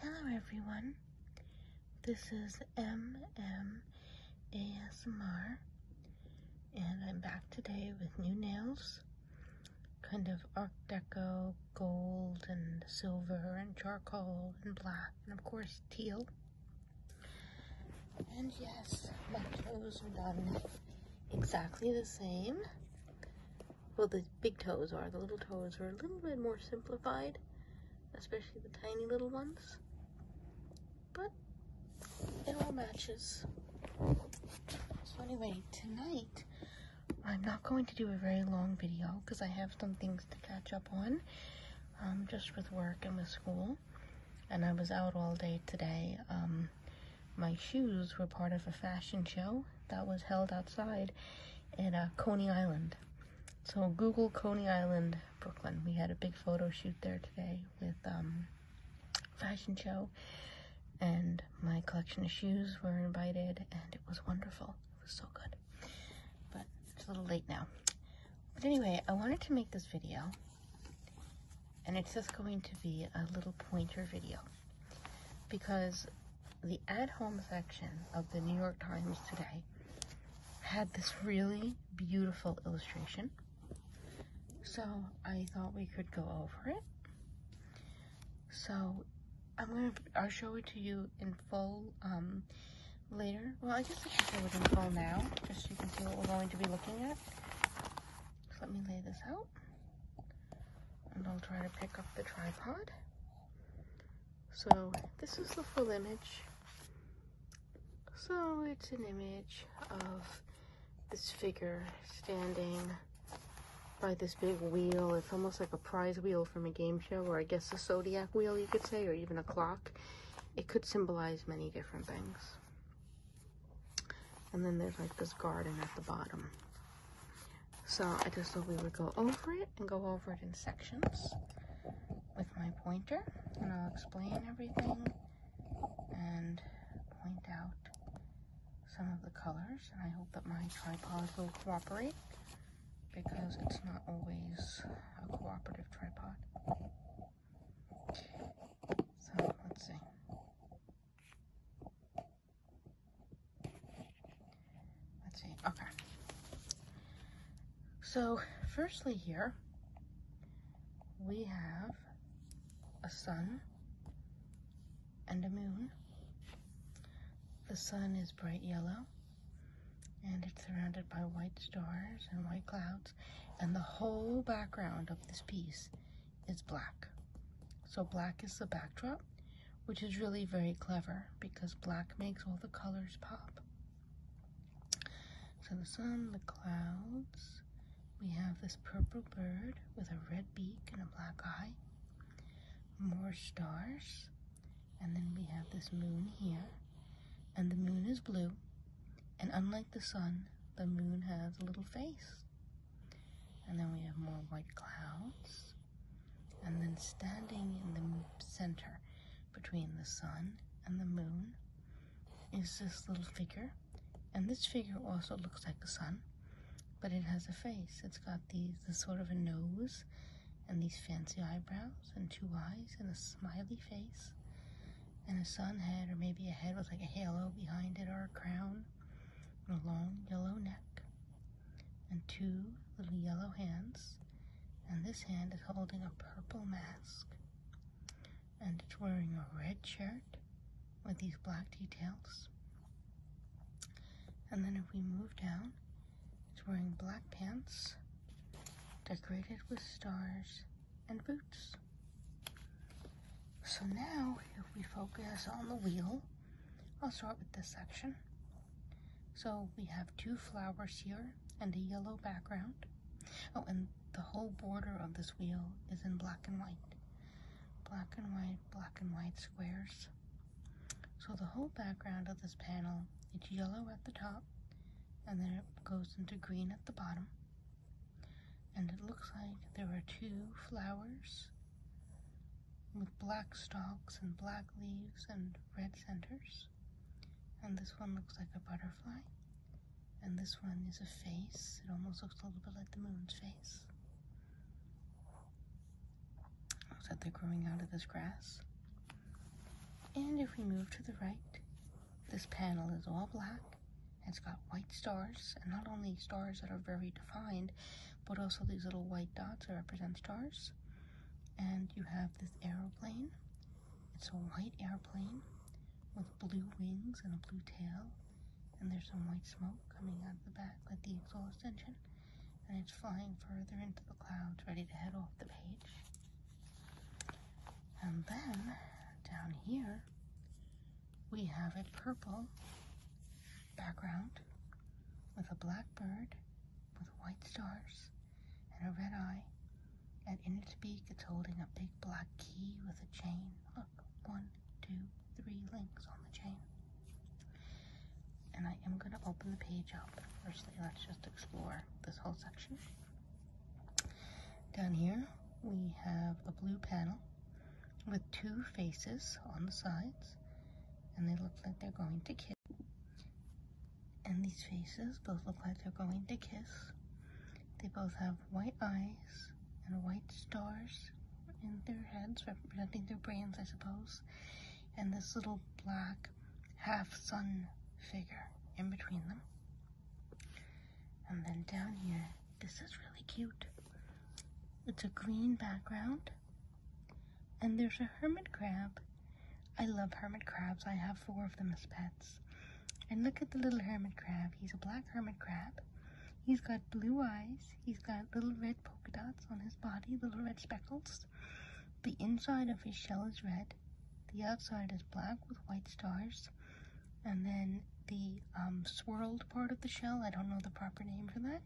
Hello, everyone. This is M M A S M R, and I'm back today with new nails kind of Art Deco, gold, and silver, and charcoal, and black, and of course, teal. And yes, my toes are done exactly the same well the big toes are the little toes are a little bit more simplified especially the tiny little ones but it all matches so anyway tonight I'm not going to do a very long video because I have some things to catch up on um, just with work and with school and I was out all day today um, my shoes were part of a fashion show that was held outside at uh, Coney Island. So Google Coney Island, Brooklyn. We had a big photo shoot there today with um, fashion show and my collection of shoes were invited and it was wonderful. It was so good. But it's a little late now. But anyway, I wanted to make this video and it's just going to be a little pointer video because the at home section of the New York Times today had this really beautiful illustration. So I thought we could go over it. So I'm gonna, I'll show it to you in full um, later. Well, I guess I can show it in full now, just so you can see what we're going to be looking at. let me lay this out and I'll try to pick up the tripod. So this is the full image. So it's an image of this figure standing by this big wheel. It's almost like a prize wheel from a game show, or I guess a zodiac wheel, you could say, or even a clock. It could symbolize many different things. And then there's like this garden at the bottom. So I just thought we would go over it and go over it in sections with my pointer. And I'll explain everything and point out some of the colors. And I hope that my tripod will cooperate because it's not always a cooperative tripod. So let's see. Let's see, okay. So firstly here, we have a sun and a moon. The sun is bright yellow and it's surrounded by white stars and white clouds and the whole background of this piece is black. So black is the backdrop, which is really very clever because black makes all the colors pop. So the sun, the clouds, we have this purple bird with a red beak and a black eye, more stars, and then we have this moon here, and the moon is blue, and unlike the sun, the moon has a little face and then we have more white clouds, and then standing in the center between the sun and the moon is this little figure. And this figure also looks like the sun, but it has a face. It's got these sort of a nose and these fancy eyebrows and two eyes and a smiley face and a sun head or maybe a head with like a halo behind it or a crown and a long yellow neck, and two little yellow hands, and this hand is holding a purple mask, and it's wearing a red shirt with these black details. And then if we move down, it's wearing black pants decorated with stars and boots. So now, if we focus on the wheel, I'll start with this section. So we have two flowers here and a yellow background. Oh, and the whole border of this wheel is in black and white. Black and white, black and white squares. So the whole background of this panel, it's yellow at the top, and then it goes into green at the bottom. And it looks like there are two flowers with black stalks and black leaves and red centers. And this one looks like a butterfly. And this one is a face. It almost looks a little bit like the moon's face. Looks like they're growing out of this grass. And if we move to the right, this panel is all black it's got white stars, and not only stars that are very defined, but also these little white dots that represent stars. And you have this aeroplane. It's a white airplane with blue wings and a blue tail. And there's some white smoke coming out of the back with the exhaust engine. And it's flying further into the clouds, ready to head off the page. And then down here, we have a purple background with a black bird with white stars and a red eye. And in its beak, it's holding a big black key with a chain. Look, one, two, three links on the chain. And I am going to open the page up. Firstly, let's just explore this whole section. Down here, we have a blue panel with two faces on the sides and they look like they're going to kiss and these faces both look like they're going to kiss they both have white eyes and white stars in their heads representing their brains i suppose and this little black half sun figure in between them and then down here, this is really cute. It's a green background. And there's a hermit crab. I love hermit crabs. I have four of them as pets. And look at the little hermit crab. He's a black hermit crab. He's got blue eyes. He's got little red polka dots on his body, little red speckles. The inside of his shell is red. The outside is black with white stars and then the um, swirled part of the shell, I don't know the proper name for that.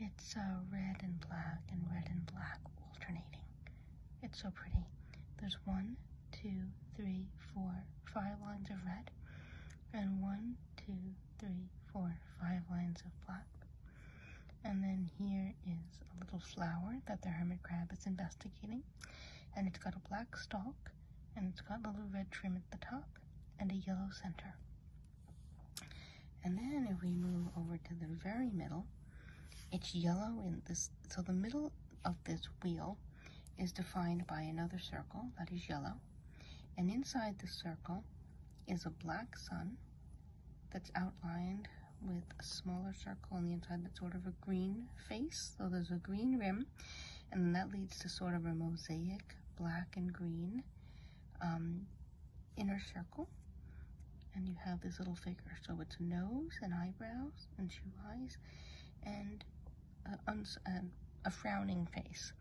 It's uh, red and black and red and black alternating. It's so pretty. There's one, two, three, four, five lines of red, and one, two, three, four, five lines of black. And then here is a little flower that the hermit crab is investigating and it's got a black stalk and it's got a little red trim at the top and a yellow center. And then if we move over to the very middle, it's yellow in this, so the middle of this wheel is defined by another circle that is yellow. And inside the circle is a black sun that's outlined with a smaller circle on the inside that's sort of a green face. So there's a green rim and that leads to sort of a mosaic black and green um, inner circle. And you have this little figure. So it's nose and eyebrows and two eyes and a frowning face.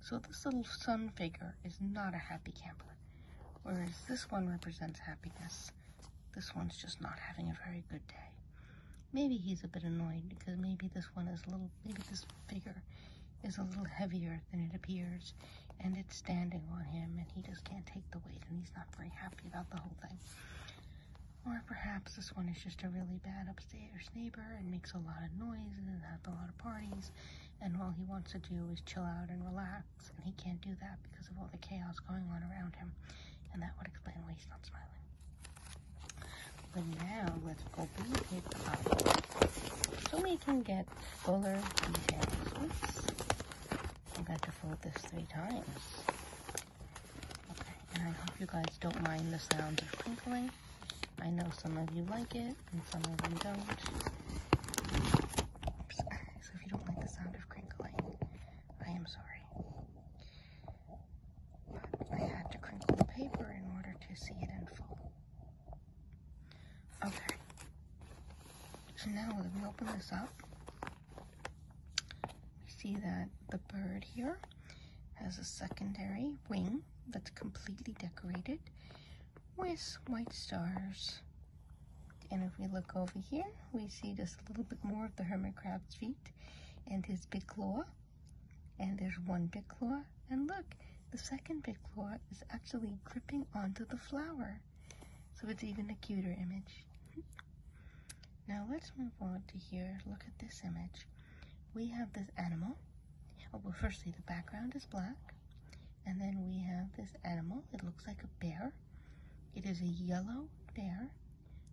So this little sun figure is not a happy camper, whereas this one represents happiness. This one's just not having a very good day. Maybe he's a bit annoyed because maybe this one is a little, maybe this figure is a little heavier than it appears and it's standing on him and he just can't take the weight and he's not very happy about the whole thing. Or perhaps this one is just a really bad upstairs neighbor and makes a lot of noise and has a lot of parties and all he wants to do is chill out and relax and he can't do that because of all the chaos going on around him and that would explain why he's not smiling. But now let's open beat it up so we can get fuller details. I'm going to fold this three times. Okay, and I hope you guys don't mind the sounds of crinkling. I know some of you like it and some of you don't. So if you don't like the sound of crinkling, I am sorry. I had to crinkle the paper in order to see it in full. Okay. So now if we open this up, we see that the bird here has a secondary wing that's completely decorated with white stars. And if we look over here, we see just a little bit more of the hermit crab's feet and his big claw. And there's one big claw. And look, the second big claw is actually gripping onto the flower. So it's even a cuter image. now let's move on to here. Look at this image. We have this animal. Oh, well, firstly, the background is black. And then we have this animal. It looks like a bear. It is a yellow bear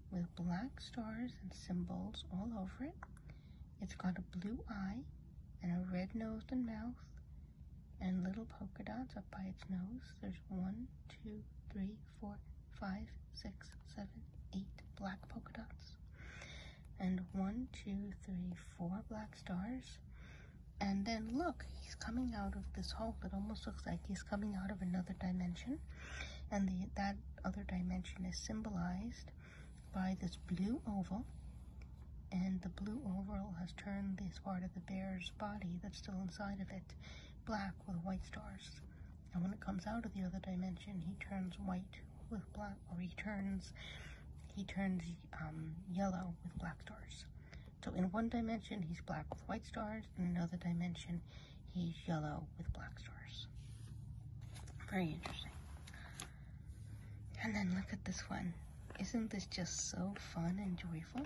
with black stars and symbols all over it. It's got a blue eye and a red nose and mouth and little polka dots up by its nose. There's one, two, three, four, five, six, seven, eight black polka dots. And one, two, three, four black stars. And then look, he's coming out of this hole. It almost looks like he's coming out of another dimension. And that other dimension is symbolized by this blue oval. And the blue oval has turned this part of the bear's body that's still inside of it black with white stars. And when it comes out of the other dimension, he turns white with black, or he turns he turns um, yellow with black stars. So in one dimension, he's black with white stars. In another dimension, He's yellow with black stars. Very interesting. And then look at this one. Isn't this just so fun and joyful?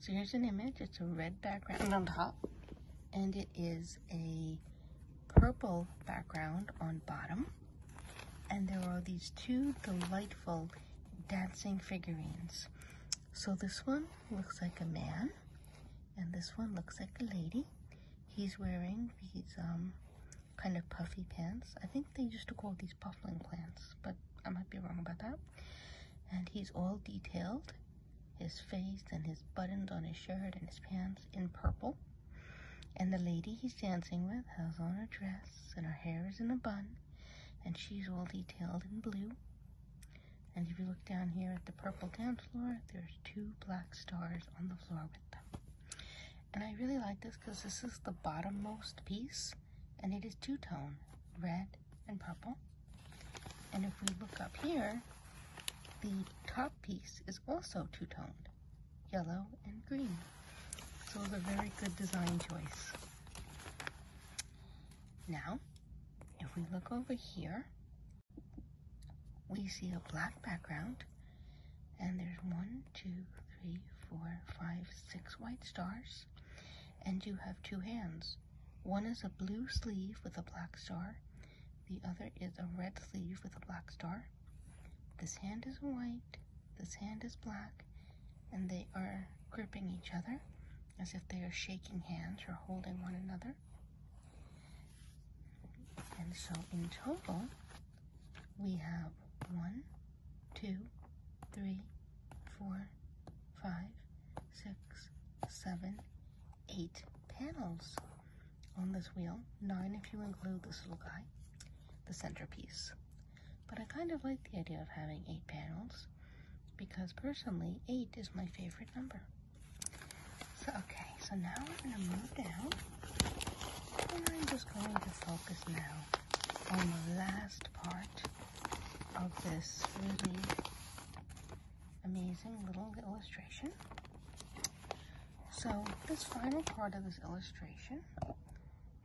So here's an image. It's a red background on top. And it is a purple background on bottom. And there are these two delightful dancing figurines. So this one looks like a man, and this one looks like a lady. He's wearing these um, kind of puffy pants. I think they used to call these puffling pants, but I might be wrong about that. And he's all detailed, his face and his buttons on his shirt and his pants in purple. And the lady he's dancing with has on a dress and her hair is in a bun and she's all detailed in blue. And if you look down here at the purple dance floor, there's two black stars on the floor with them. And I really like this because this is the bottommost piece and it is two-tone, red and purple. And if we look up here, the top piece is also two-toned, yellow and green. So it's a very good design choice. Now, if we look over here, we see a black background and there's one, two, three, four, five, six white stars and you have two hands. One is a blue sleeve with a black star. The other is a red sleeve with a black star. This hand is white, this hand is black, and they are gripping each other as if they are shaking hands or holding one another. And so in total, we have one, two, three, four, five, six, seven, eight panels on this wheel. Nine if you include this little guy, the centerpiece. But I kind of like the idea of having eight panels because personally, eight is my favorite number. So, okay, so now we're going to move down and I'm just going to focus now on the last part of this really amazing little illustration. So this final part of this illustration,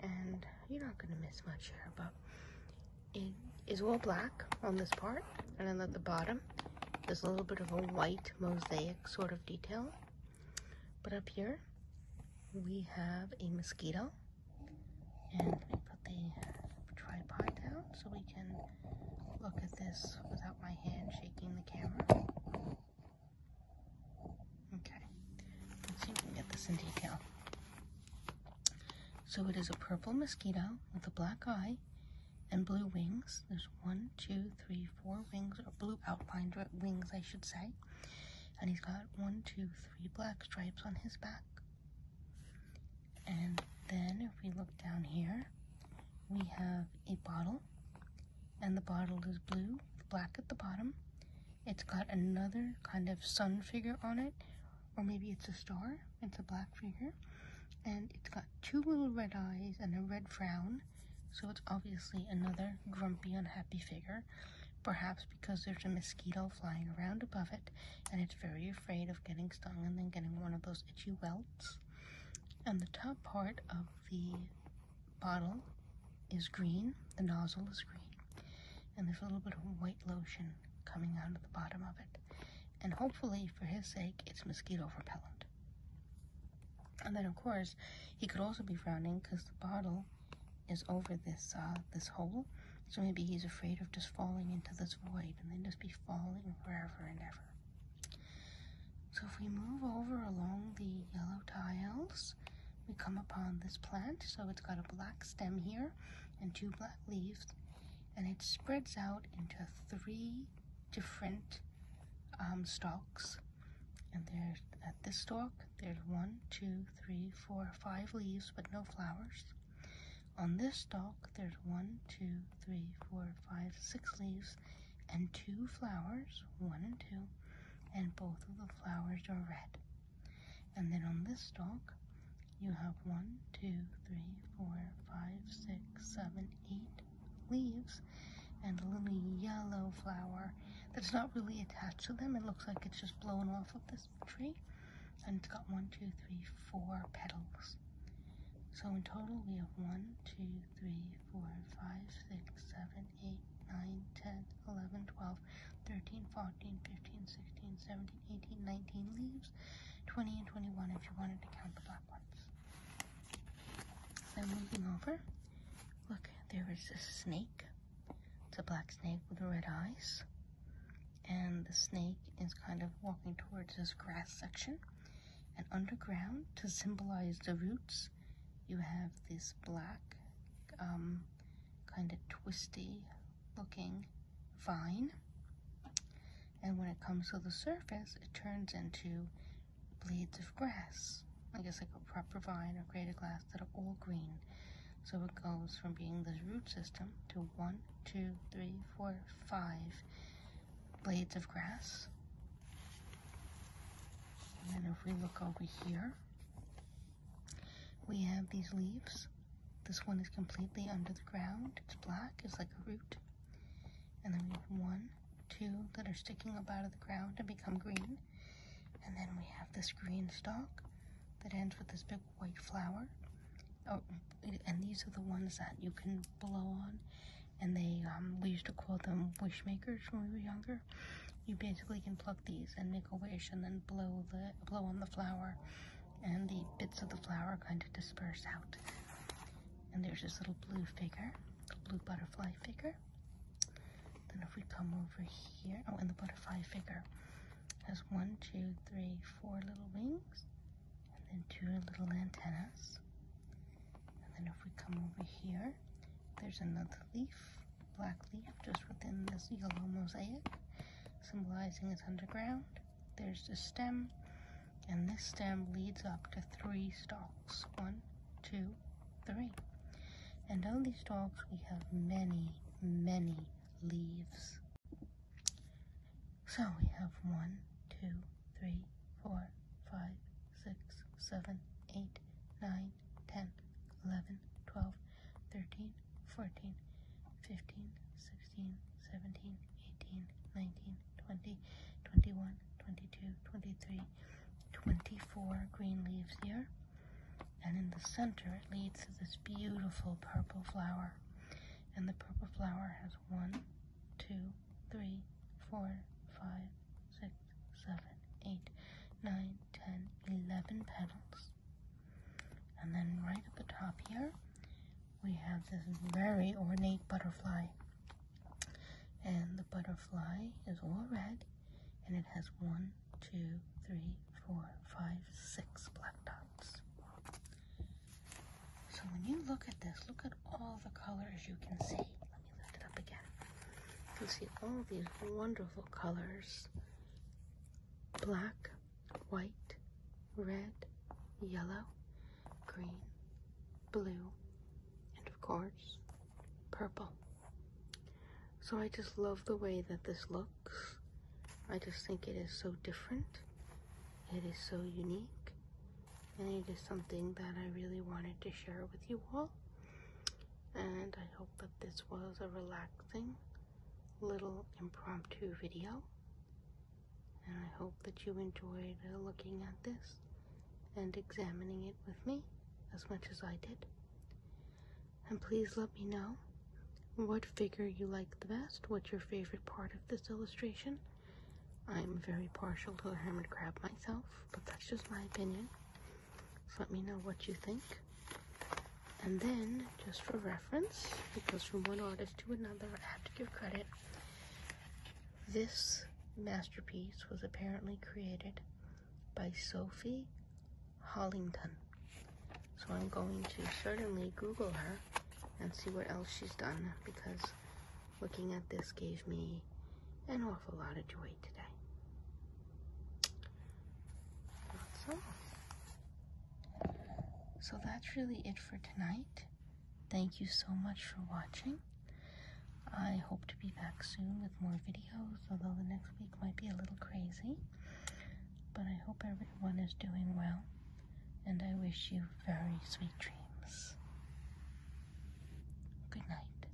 and you're not going to miss much here, but it is all black on this part and then at the bottom there's a little bit of a white mosaic sort of detail but up here we have a mosquito and let me put the tripod down so we can look at this without my hand shaking the camera okay see if we get this in detail so it is a purple mosquito with a black eye and blue wings. There's one, two, three, four wings, or blue outlined wings, I should say. And he's got one, two, three black stripes on his back. And then if we look down here, we have a bottle. And the bottle is blue, with black at the bottom, it's got another kind of sun figure on it, or maybe it's a star. It's a black figure. And it's got two little red eyes and a red frown. So it's obviously another grumpy, unhappy figure, perhaps because there's a mosquito flying around above it and it's very afraid of getting stung and then getting one of those itchy welts. And the top part of the bottle is green, the nozzle is green, and there's a little bit of white lotion coming out of the bottom of it. And hopefully, for his sake, it's mosquito repellent. And then, of course, he could also be frowning because the bottle is over this uh, this hole. So maybe he's afraid of just falling into this void and then just be falling forever and ever. So if we move over along the yellow tiles, we come upon this plant. So it's got a black stem here and two black leaves, and it spreads out into three different um, stalks. And there's at this stalk, there's one, two, three, four, five leaves, but no flowers. On this stalk, there's one, two, three, four, five, six leaves, and two flowers, one and two, and both of the flowers are red. And then on this stalk, you have one, two, three, four, five, six, seven, eight leaves and a little yellow flower that's not really attached to them. It looks like it's just blown off of this tree. And it's got one, two, three, four petals. So in total, we have one, two, three, four, five, six, seven, eight, nine, ten, eleven, twelve, 13, 14, 15, 16, 17, 18, 19 leaves, 20 and 21 if you wanted to count the black ones. I'm moving over, look, there is a snake. It's a black snake with red eyes. And the snake is kind of walking towards this grass section. And underground, to symbolize the roots, you have this black um, kind of twisty looking vine. And when it comes to the surface, it turns into blades of grass. I guess like a proper vine or greater glass that are all green. So it goes from being the root system to one, two, three, four, five blades of grass. And then if we look over here, we have these leaves. This one is completely under the ground. It's black, it's like a root. And then we have one, two that are sticking up out of the ground and become green. And then we have this green stalk that ends with this big white flower. Oh, and these are the ones that you can blow on. And they, um, we used to call them wish makers when we were younger. You basically can plug these and make a wish and then blow the blow on the flower and the bits of the flower are kind of disperse out. And there's this little blue figure, the blue butterfly figure. Then if we come over here, oh, and the butterfly figure has one, two, three, four little wings, and then two little antennas. And then if we come over here, there's another leaf black leaf just within this yellow mosaic, symbolizing its underground. There's the stem, and this stem leads up to three stalks. One, two, three. And on these stalks, we have many, many leaves. So we have one, two, three, four, five, six, seven, eight, nine, 9, 10, 11, 12, 13, 14, 15, 16, 17, 18, 19, 20, 21, 22, 23, 24 green leaves here. And in the center, it leads to this beautiful purple flower. And the purple flower has one, two, three, four, five, six, seven, eight, nine, 10, 11 petals. And then right at the top here, we have this very ornate butterfly. And the butterfly is all red, and it has one, two, three, four, five, six black dots. So when you look at this, look at all the colors you can see. Let me lift it up again. You see all these wonderful colors black, white, red, yellow, green, blue, and of course, purple. So I just love the way that this looks. I just think it is so different. It is so unique. And it is something that I really wanted to share with you all. And I hope that this was a relaxing little impromptu video. And I hope that you enjoyed uh, looking at this and examining it with me as much as I did. And please let me know what figure you like the best, what's your favorite part of this illustration. I'm very partial to the hermit crab myself, but that's just my opinion. Let me know what you think. And then, just for reference, because from one artist to another, I have to give credit, this masterpiece was apparently created by Sophie Hollington. So I'm going to certainly Google her and see what else she's done because looking at this gave me an a lot of joy today. so that's really it for tonight. Thank you so much for watching. I hope to be back soon with more videos, although the next week might be a little crazy. But I hope everyone is doing well, and I wish you very sweet dreams. Good night.